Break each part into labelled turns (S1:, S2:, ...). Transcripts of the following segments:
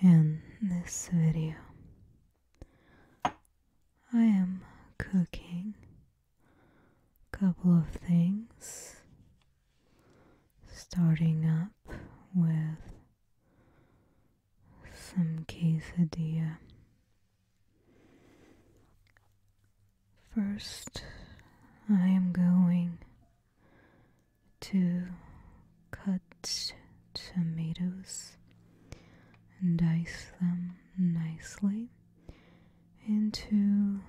S1: In this video, I am cooking a couple of things, starting up with some quesadilla. First, I am going to cut tomatoes and dice them nicely into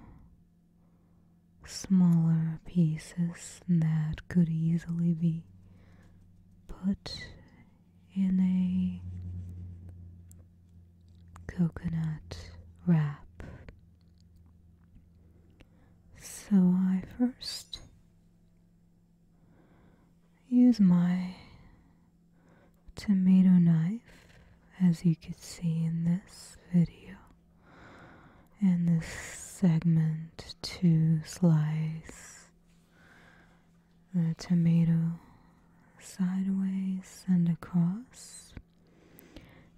S1: smaller pieces that could easily be put in a coconut wrap. So I first use my tomato knife as you can see in this video and this segment to slice the tomato sideways and across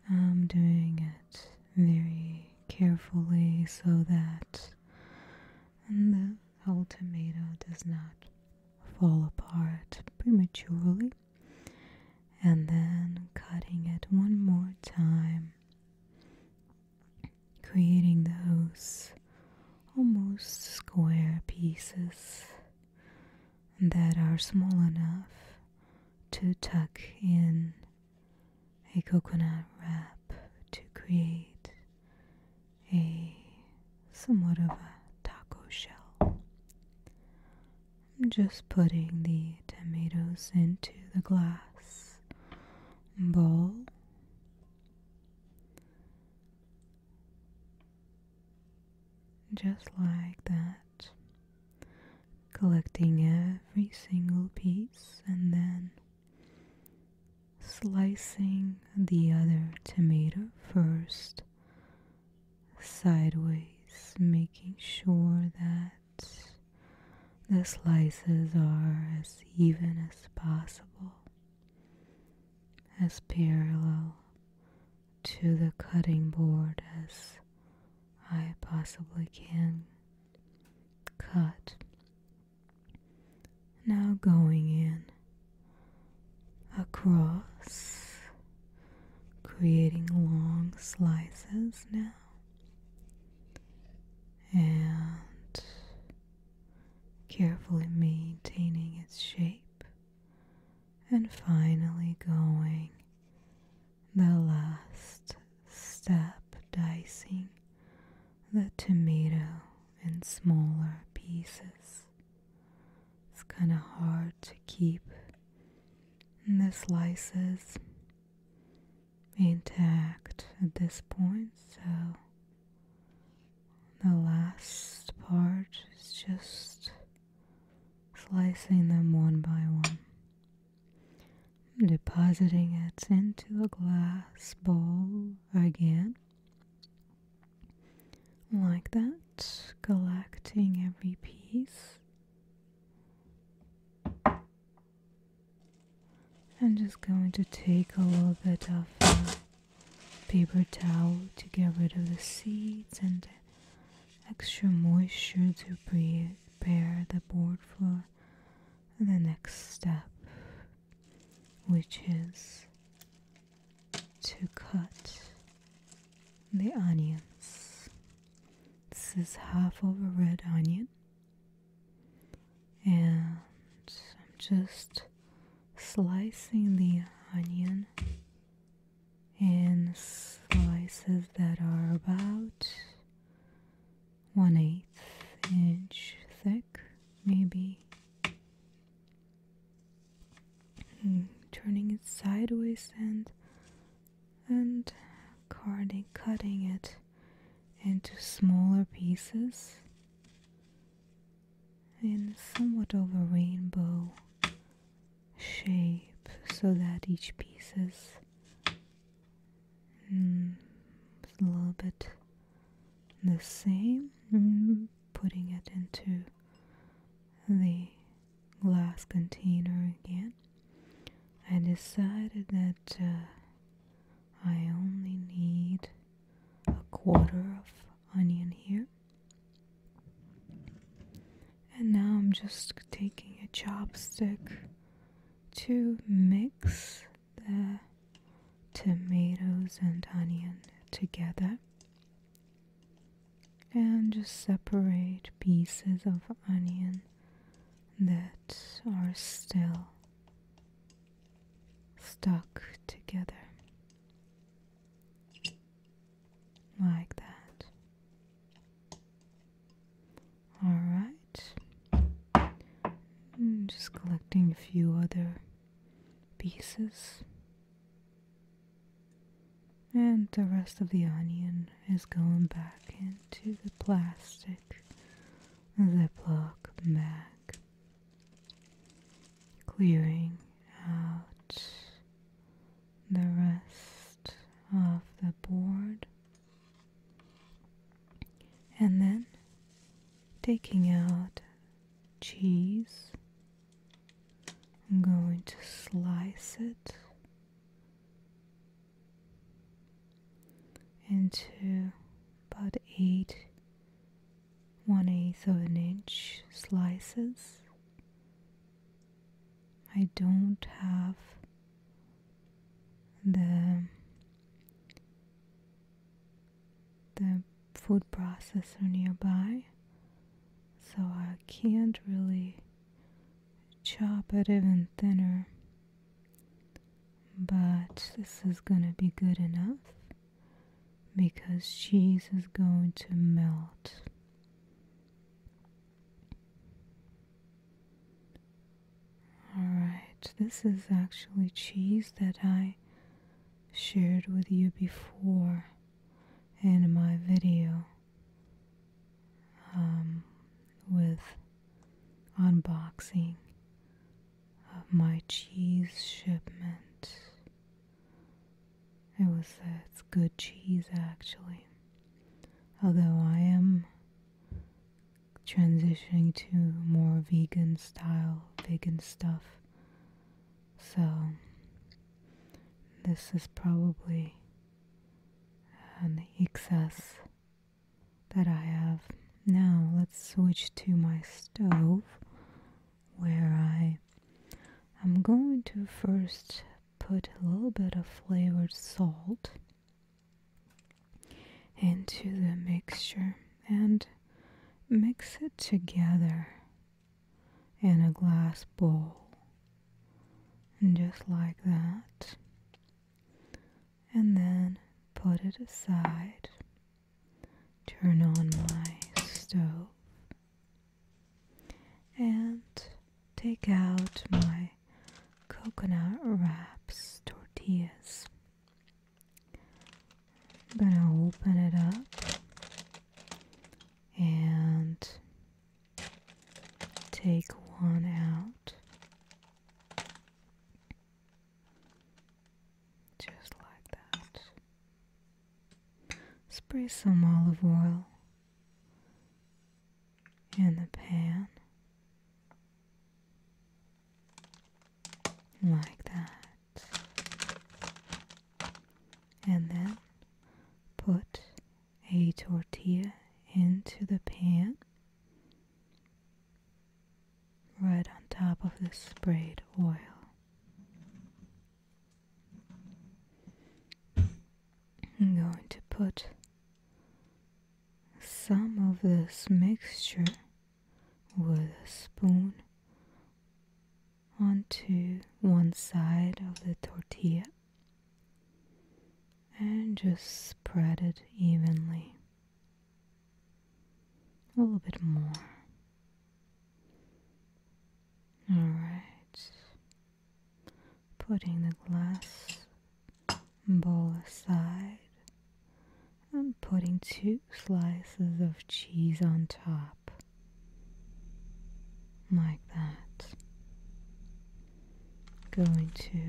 S1: I'm doing it very carefully so that the whole tomato does not fall apart prematurely and then cutting it one more time creating those almost square pieces that are small enough to tuck in a coconut wrap to create a somewhat of a taco shell. I'm just putting the tomatoes into the glass bowl. Just like that, collecting every single piece and then slicing the other tomato first sideways, making sure that the slices are as even as possible, as parallel to the cutting board as I possibly can cut. Now going in across, creating long slices now, and carefully maintaining its shape, and finally going the last step dicing the tomato in smaller pieces. It's kind of hard to keep the slices intact at this point, so the last part is just slicing them one by one depositing it into a glass bowl again. Like that, collecting every piece. I'm just going to take a little bit of uh, paper towel to get rid of the seeds and extra moisture to prepare the board for the next step, which is to cut the onions. This is half of a red onion, and I'm just slicing the onion in slices that are about one eighth inch thick, maybe. Hmm, turning it sideways and and carding, cutting it into smaller pieces in somewhat of a rainbow shape so that each piece is Mm, a little bit the same. Mm, putting it into the glass container again. I decided that uh, I only need a quarter of onion here. And now I'm just taking a chopstick to mix the tomatoes and onion together and just separate pieces of onion that are still stuck together like that Alright. Hmm, just collecting a few other pieces. And the rest of the onion is going back into the plastic Ziploc bag. Clearing out the rest of the board and then taking out cheese, I'm going to slice it into about eight one eighth of an inch slices. I don't have the the food processor nearby so I can't really chop it even thinner but this is gonna be good enough because cheese is going to melt Alright, this is actually cheese that I shared with you before in my video um, with unboxing of my cheese shipment. It was uh, good cheese actually. Although I am transitioning to more vegan style, vegan stuff. So, this is probably an excess that I have. Now, let's switch to my stove where I am going to first put a little bit of flavored salt into the mixture and mix it together in a glass bowl. And just like that. And then put it aside. Turn on my stove. And take out my coconut wraps tortillas. I'm gonna open it up and take one out just like that. Spray some olive oil in the pan like that and then put a tortilla into the pan right on top of the sprayed oil I'm going to put some of this mixture with a spoon onto one side of the tortilla and just spread it evenly. A little bit more. Alright putting the glass bowl aside and putting two slices of cheese on top. Like that. Going to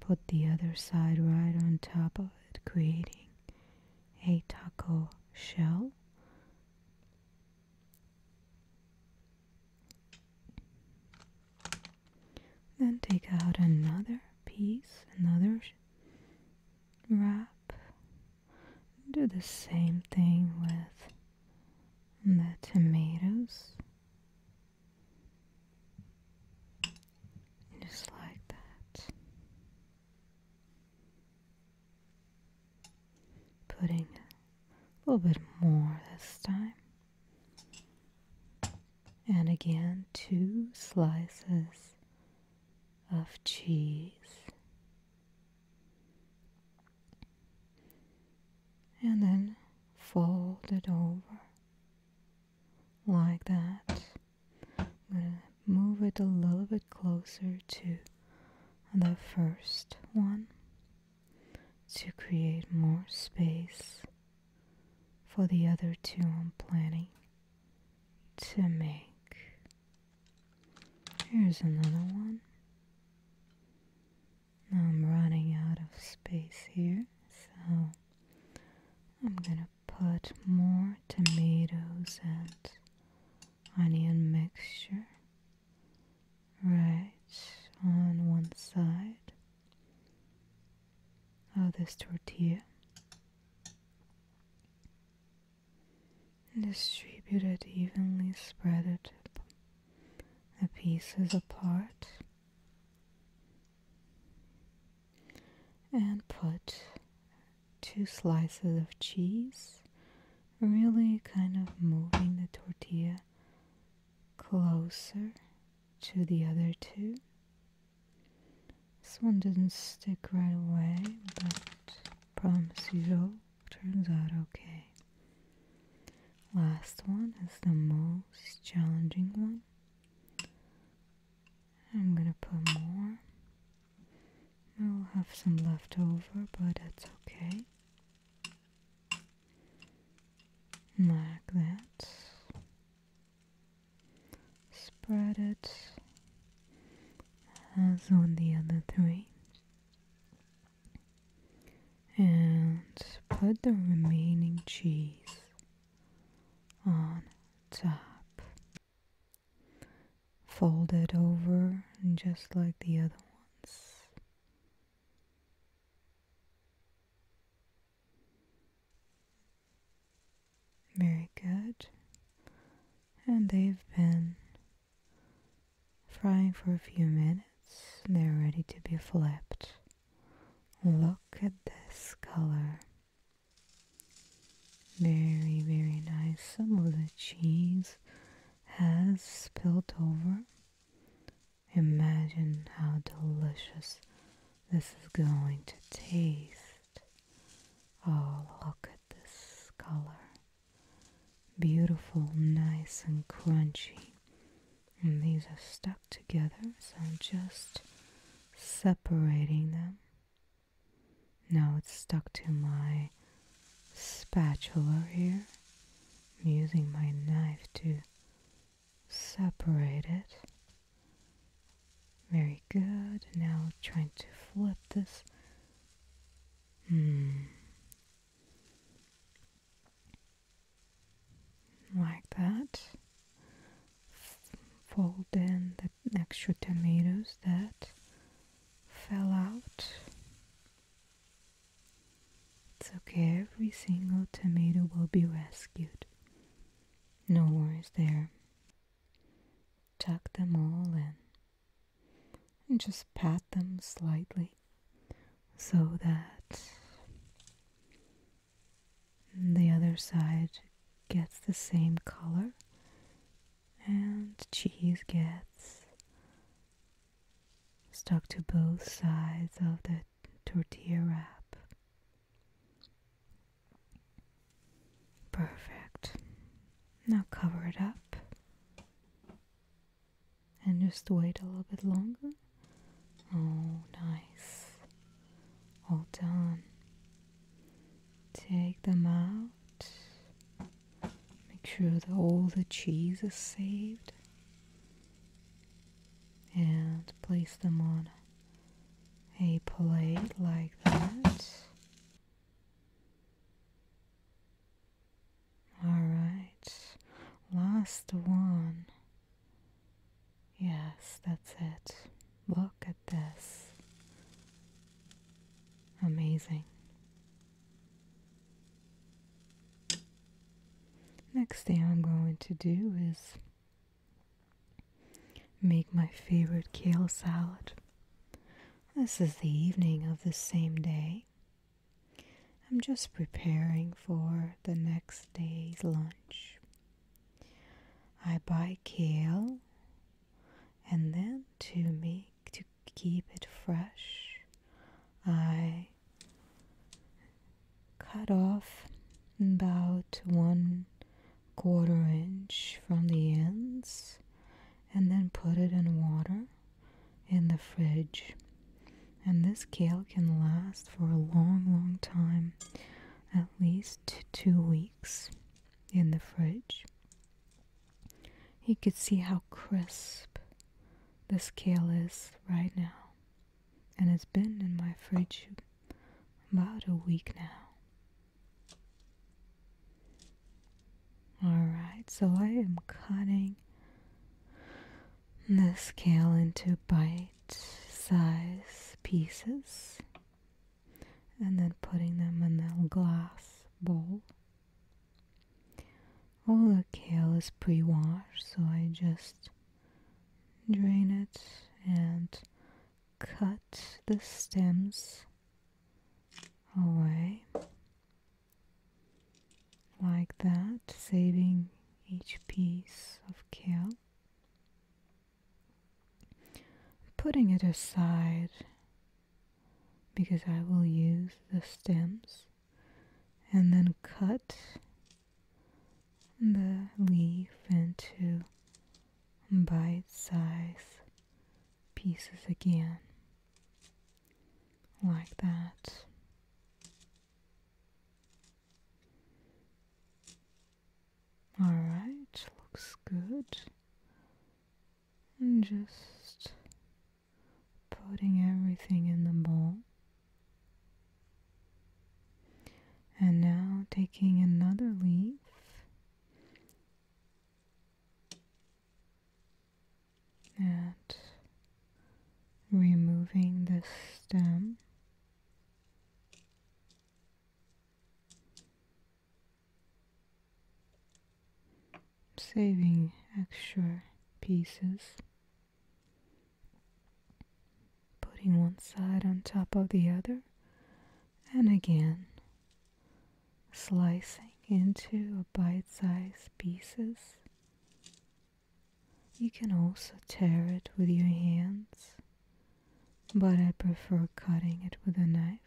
S1: put the other side right on top of it, creating a taco shell. Then take out another piece, another wrap. Do the same thing with the tomatoes. Just like that. Putting a little bit more this time. And again, two slices of cheese. And then fold it over like that. I'm going to move it a little bit closer to the first one to create more space for the other two I'm planning to make. Here's another one. I'm running out of space here, so I'm gonna put more tomatoes and onion mixture right on one side of this tortilla and distribute it evenly, spread it the pieces apart and put two slices of cheese, really kind of moving the tortilla closer to the other two. This one didn't stick right away, but promise you'll. turns out okay. Last one is the most challenging one. I'm gonna put more. I will have some left over, but it's okay like that spread it as on the other three and put the remaining cheese on top fold it over just like the other ones very good. And they've been frying for a few minutes. They're ready to be flipped. Look at this color. Very, very nice. Some of the cheese has spilled over. Imagine how delicious this is going to taste. Oh, look at this color. Beautiful, nice, and crunchy. And these are stuck together, so I'm just separating them. Now it's stuck to my spatula here. I'm using my knife to separate it. Very good. Now trying to flip this. Hmm. Like that. Fold in the extra tomatoes that fell out. It's okay, every single tomato will be rescued. No worries there. Tuck them all in and just pat them slightly so that the other side gets the same color and cheese gets stuck to both sides of the tortilla wrap. Perfect. Now cover it up and just wait a little bit longer. Oh, nice. All done. Take them out. Make sure that all the cheese is saved and place them on a plate like that. Alright, last one. Yes, that's it. Look at this. Amazing. Next thing I'm going to do is make my favorite kale salad. This is the evening of the same day. I'm just preparing for the next day's lunch. I buy kale and then to make to keep it fresh, I cut off about one quarter inch from the ends and then put it in water in the fridge and this kale can last for a long long time at least two weeks in the fridge you could see how crisp this kale is right now and it's been in my fridge about a week now. Alright, so I am cutting the kale into bite size pieces and then putting them in a glass bowl all the kale is pre-washed so I just drain it and cut the stems away like that saving each piece of kale putting it aside because I will use the stems and then cut the leaf into bite sized pieces again, like that. Alright, looks good. And just putting everything in the bowl. And now taking another leaf. and removing the stem saving extra pieces Putting one side on top of the other, and again slicing into bite sized pieces. You can also tear it with your hands, but I prefer cutting it with a knife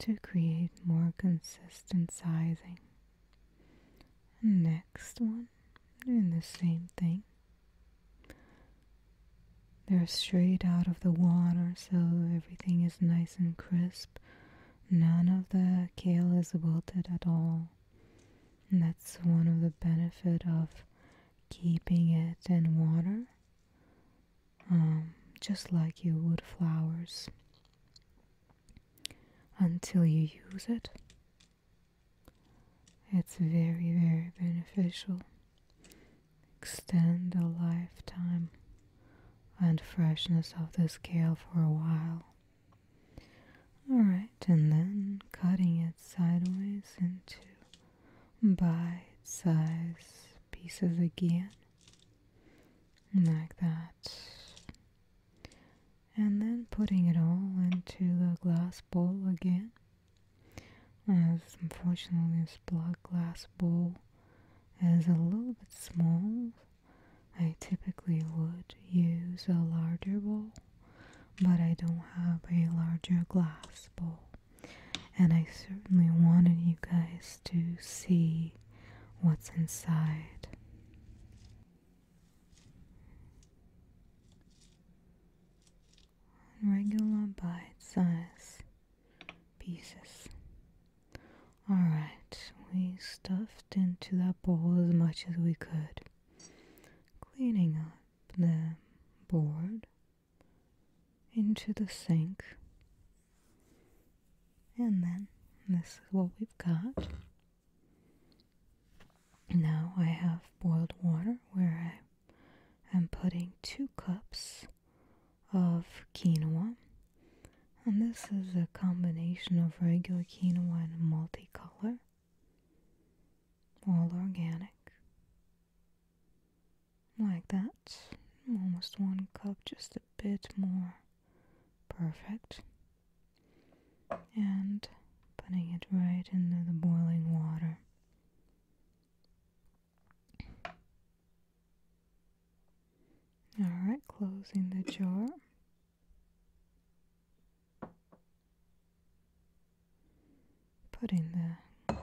S1: to create more consistent sizing. Next one, doing the same thing. They're straight out of the water, so everything is nice and crisp. None of the kale is wilted at all. And that's one of the benefit of keeping it in water, um, just like you would flowers until you use it. It's very, very beneficial. Extend the lifetime and freshness of the scale for a while. Alright, and then cutting it sideways into bite size pieces again, like that and then putting it all into the glass bowl again. As unfortunately, this block glass bowl is a little bit small. I typically would use a larger bowl, but I don't have a larger glass bowl. And I certainly wanted you guys to see what's inside regular bite size pieces. Alright, we stuffed into that bowl as much as we could. Cleaning up the board into the sink. And then this is what we've got. Now I have boiled water where I am putting two cups of quinoa. And this is a combination of regular quinoa and multicolor, all organic. Like that, almost one cup, just a bit more perfect and putting it right into the boiling water. Alright, closing the jar. Putting the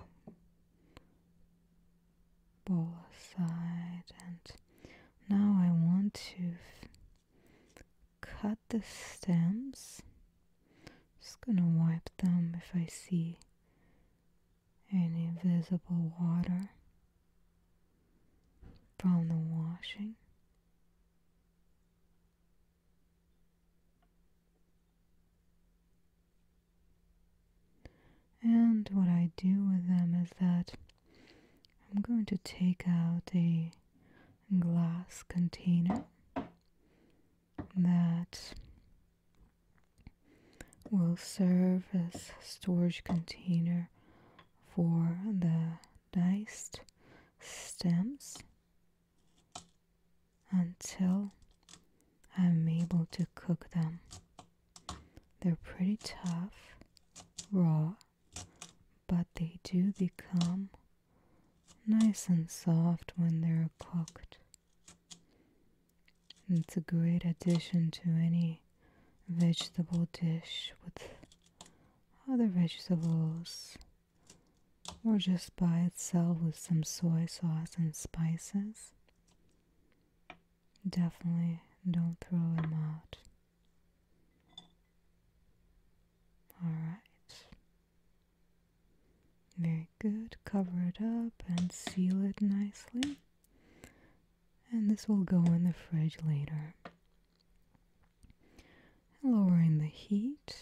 S1: bowl aside, and now I want to cut the stems. Just gonna wipe them if I see any visible water from the washing. And what I do with them is that I'm going to take out a glass container that will serve as storage container for the diced stems until I'm able to cook them. They're pretty tough, raw, but they do become nice and soft when they're cooked. it's a great addition to any vegetable dish with other vegetables or just by itself with some soy sauce and spices. Definitely don't throw them out. All right. Very good. Cover it up and seal it nicely. And this will go in the fridge later. lowering the heat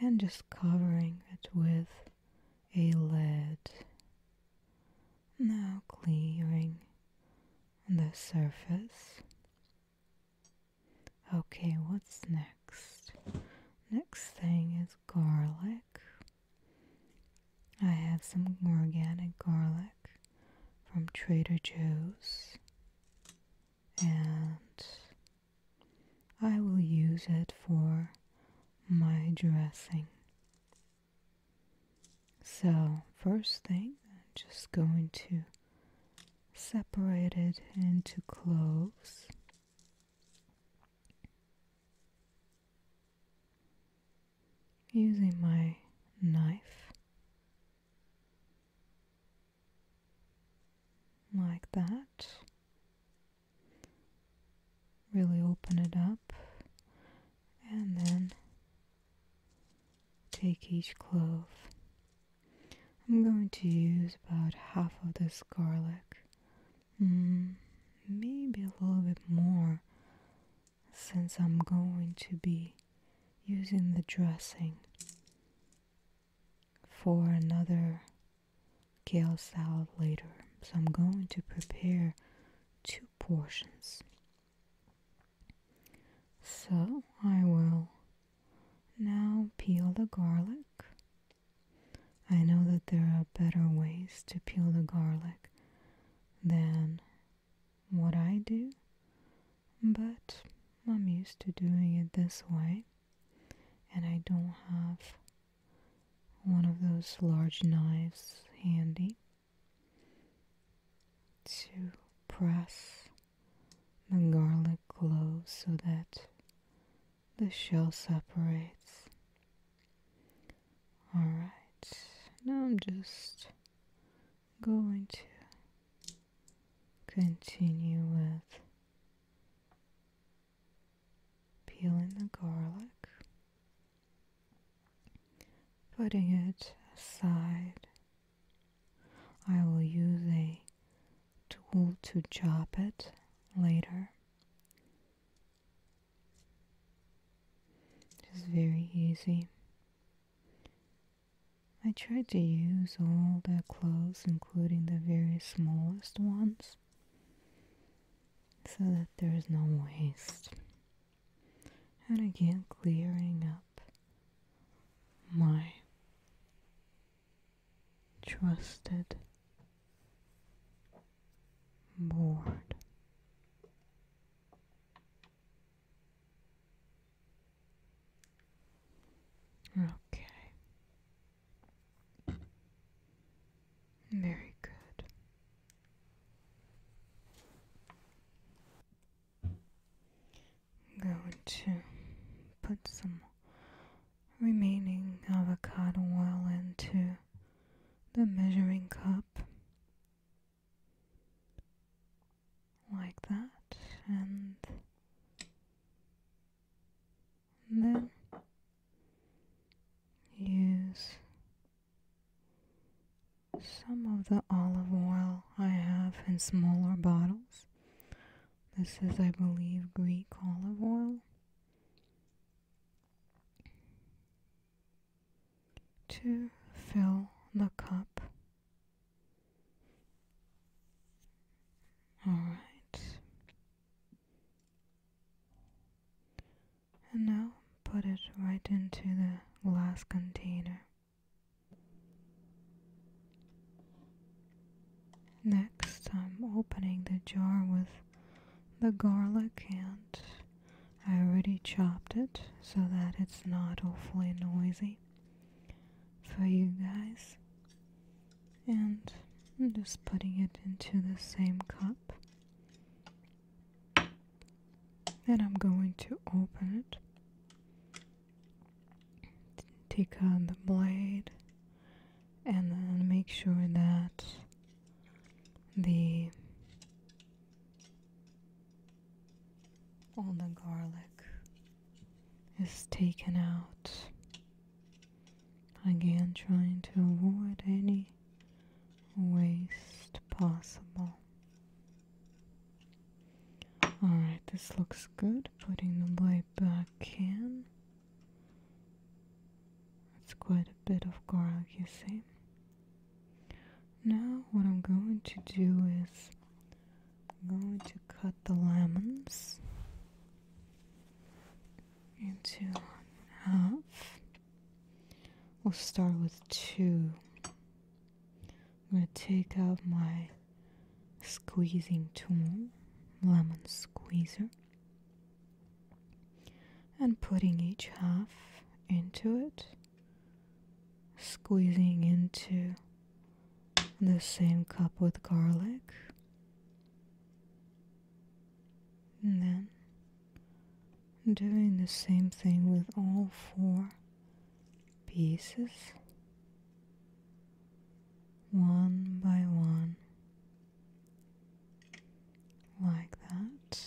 S1: and just covering it with a lid. Now clearing on the surface. Okay, what's next? Next thing is garlic. I have some organic garlic from Trader Joe's and I will use it for my dressing. So, first thing, I'm just going to separate it into cloves. Using my knife like that, really open it up and then Take each clove. I'm going to use about half of this garlic. Mm, maybe a little bit more since I'm going to be using the dressing for another kale salad later. So I'm going to prepare two portions. So I will now peel the garlic. I know that there are better ways to peel the garlic than what I do, but I'm used to doing it this way, and I don't have one of those large knives handy to press the garlic clove so that the shell separates. Alright, now I'm just going to continue with peeling the garlic, putting it aside I will use a tool to chop it later. It's very easy. I tried to use all the clothes, including the very smallest ones, so that there is no waste. And again, clearing up my trusted board. Okay. Very good. I'm going to put some remaining avocado oil into the measuring cup like that and then use some of the olive oil I have in smaller bottles. This is, I believe, Greek olive oil. To fill the cup. Alright. And now put it right into the glass container. Next, I'm opening the jar with the garlic and I already chopped it so that it's not awfully noisy for you guys. And I'm just putting it into the same cup and I'm going to open it. Take out the blade and then make sure that the all the garlic is taken out. Again, trying to avoid any waste possible. Alright, this looks good. Putting the blade back in. That's quite a bit of garlic, you see. Now, what I'm going to do is I'm going to cut the lemons into half. We'll start with two. I'm going to take out my squeezing tool, lemon squeezer, and putting each half into it, squeezing into the same cup with garlic, and then doing the same thing with all four pieces one by one like that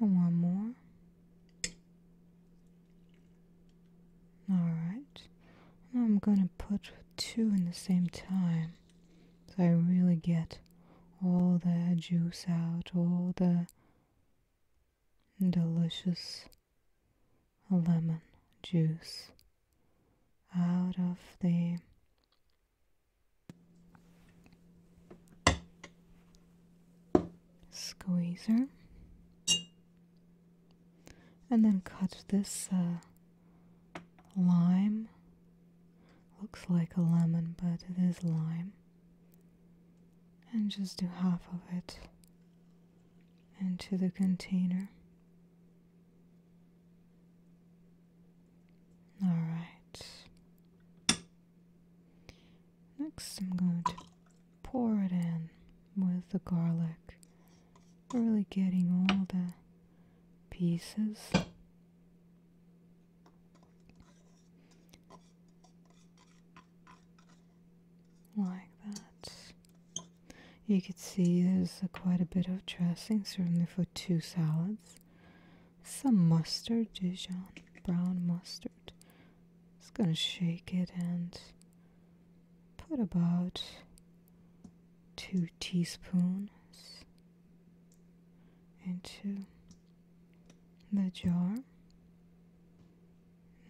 S1: and one more all right now I'm going to put two in the same time so I really get all the juice out, all the delicious lemon juice out of the squeezer and then cut this uh, lime. Looks like a lemon, but it is lime. And just do half of it into the container. Alright. Next, I'm going to pour it in with the garlic. Really getting all the pieces like that. You could see there's quite a bit of dressing, certainly for two salads. Some mustard, Dijon, brown mustard. Just gonna shake it and put about two teaspoons into the jar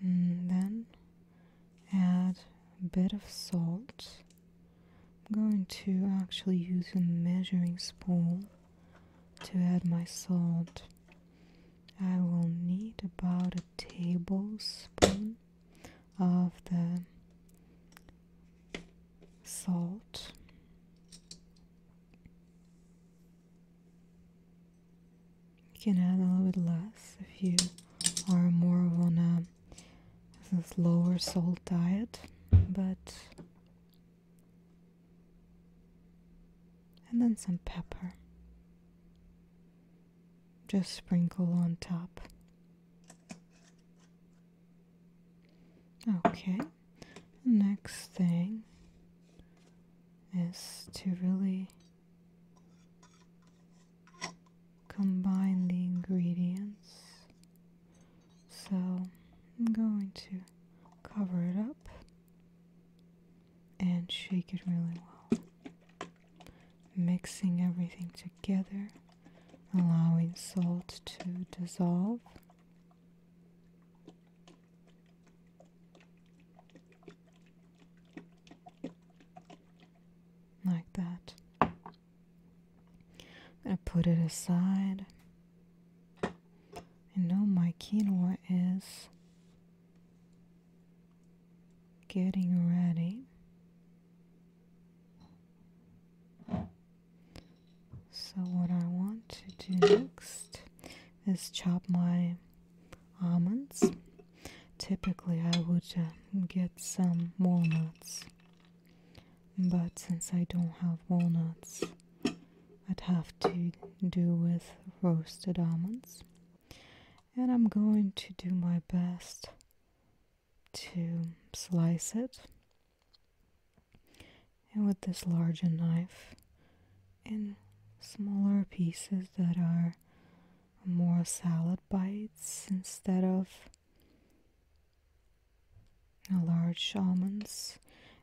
S1: then add a bit of salt I'm going to actually use a measuring spoon to add my salt I will need about a tablespoon of the salt. You can add a little bit less if you are more of on a, a lower salt diet, but and then some pepper. Just sprinkle on top. Okay, next thing is to really combine the ingredients. So I'm going to cover it up and shake it really well. Mixing everything together, allowing salt to dissolve. Like that. I'm gonna put it aside. I know my quinoa is getting ready. So what I want to do next is chop my almonds. Typically I would um, get some walnuts, but since I don't have walnuts, I'd have to do with roasted almonds. And I'm going to do my best to slice it. And with this larger knife, in smaller pieces that are more salad bites instead of large almonds.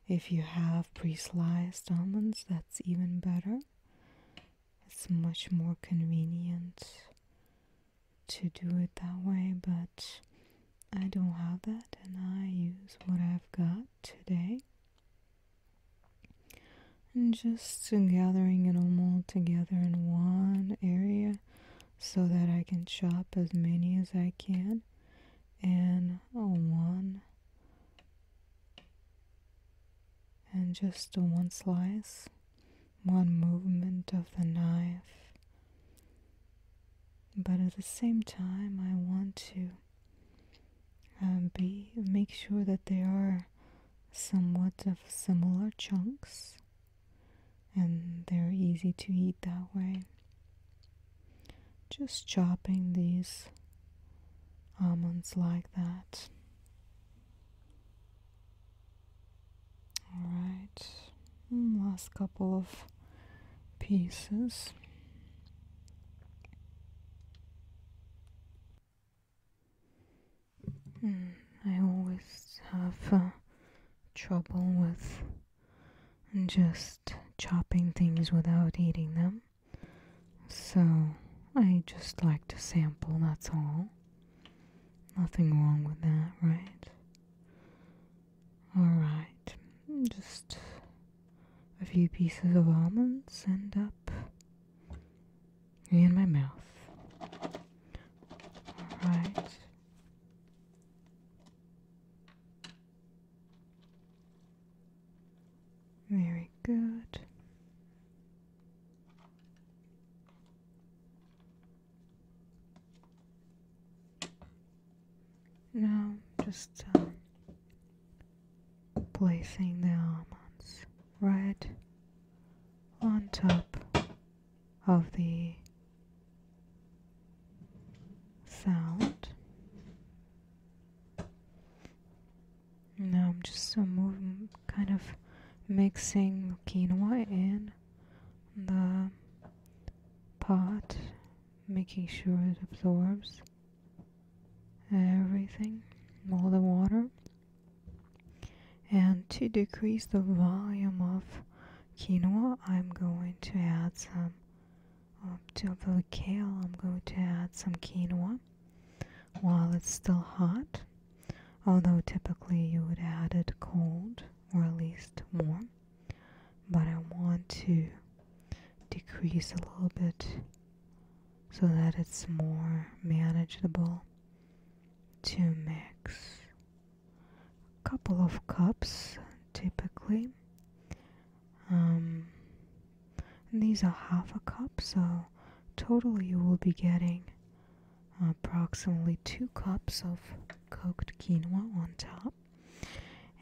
S1: If you have pre sliced almonds, that's even better. It's much more convenient to do it that way, but I don't have that and I use what I've got today. And just gathering it all together in one area so that I can chop as many as I can and one and just one slice, one movement of the knife but at the same time i want to um, be make sure that they are somewhat of similar chunks and they're easy to eat that way just chopping these almonds like that Alright, hmm, last couple of pieces. Hmm, I always have uh, trouble with just chopping things without eating them. So I just like to sample, that's all. Nothing wrong with that, right? Alright, just a few pieces of almonds end up in my mouth. Alright. Very good. Now just uh, placing the almonds right on top of the sound. Now I'm just uh, kind of mixing quinoa in the pot, making sure it absorbs everything, all the water. And to decrease the volume of quinoa, I'm going to add some, to the kale, I'm going to add some quinoa while it's still hot, although typically you would add it cold or at least warm but I want to decrease a little bit so that it's more manageable to mix a couple of cups typically um, these are half a cup so total you will be getting approximately two cups of cooked quinoa on top.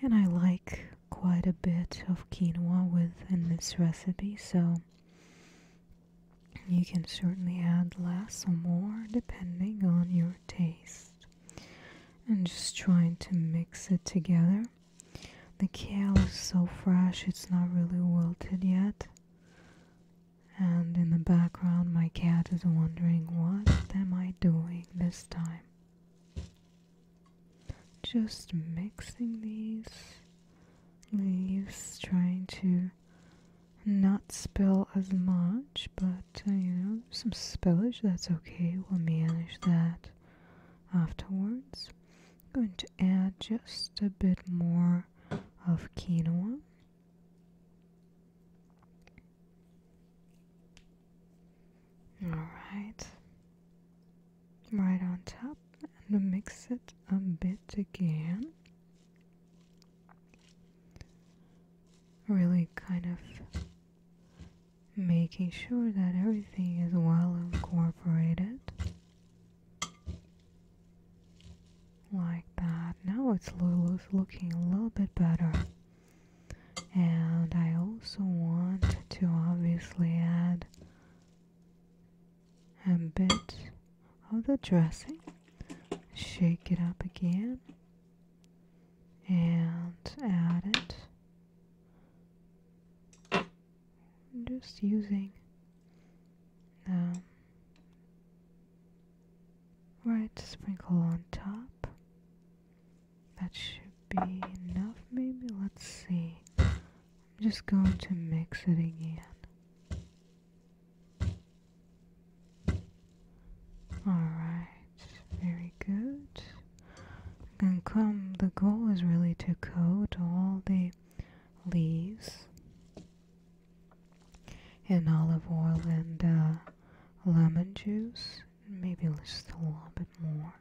S1: And I like quite a bit of quinoa within this recipe, so you can certainly add less or more depending on your taste. And just trying to mix it together. The kale is so fresh, it's not really wilted yet. And in the background, my cat is wondering what what am I doing this time? Just mixing these leaves, trying to not spill as much, but uh, you know, some spillage, that's okay, we'll manage that afterwards. going to add just a bit more of quinoa Alright, right on top, and mix it a bit again. Really kind of making sure that everything is well incorporated. Like that. Now it's Lulu's looking a little bit better and I also want to obviously add a bit of the dressing shake it up again and add it just using um, Right, sprinkle on top. That should be enough, maybe. Let's see. I'm just going to mix it again. Alright, very good. And come, the goal is really to coat all the leaves in olive oil and uh, lemon juice, maybe just a little bit more.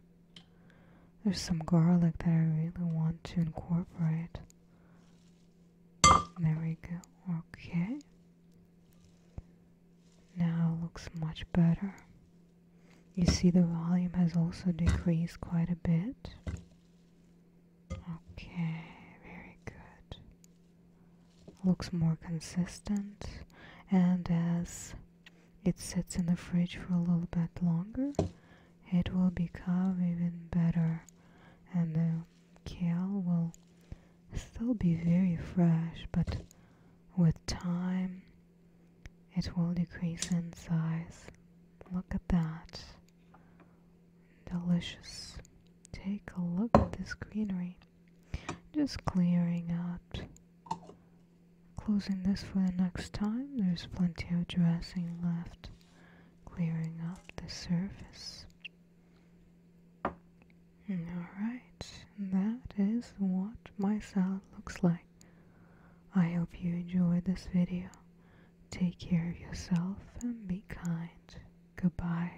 S1: There's some garlic that I really want to incorporate. There we go. Okay. Now looks much better. You see the volume has also decreased quite a bit. Okay, very good looks more consistent and as it sits in the fridge for a little bit longer it will become even better and the kale will still be very fresh but with time it will decrease in size look at that delicious take a look at this greenery just clearing out. Closing this for the next time. There's plenty of dressing left. Clearing up the surface. Alright, that is what my salad looks like. I hope you enjoyed this video. Take care of yourself and be kind. Goodbye.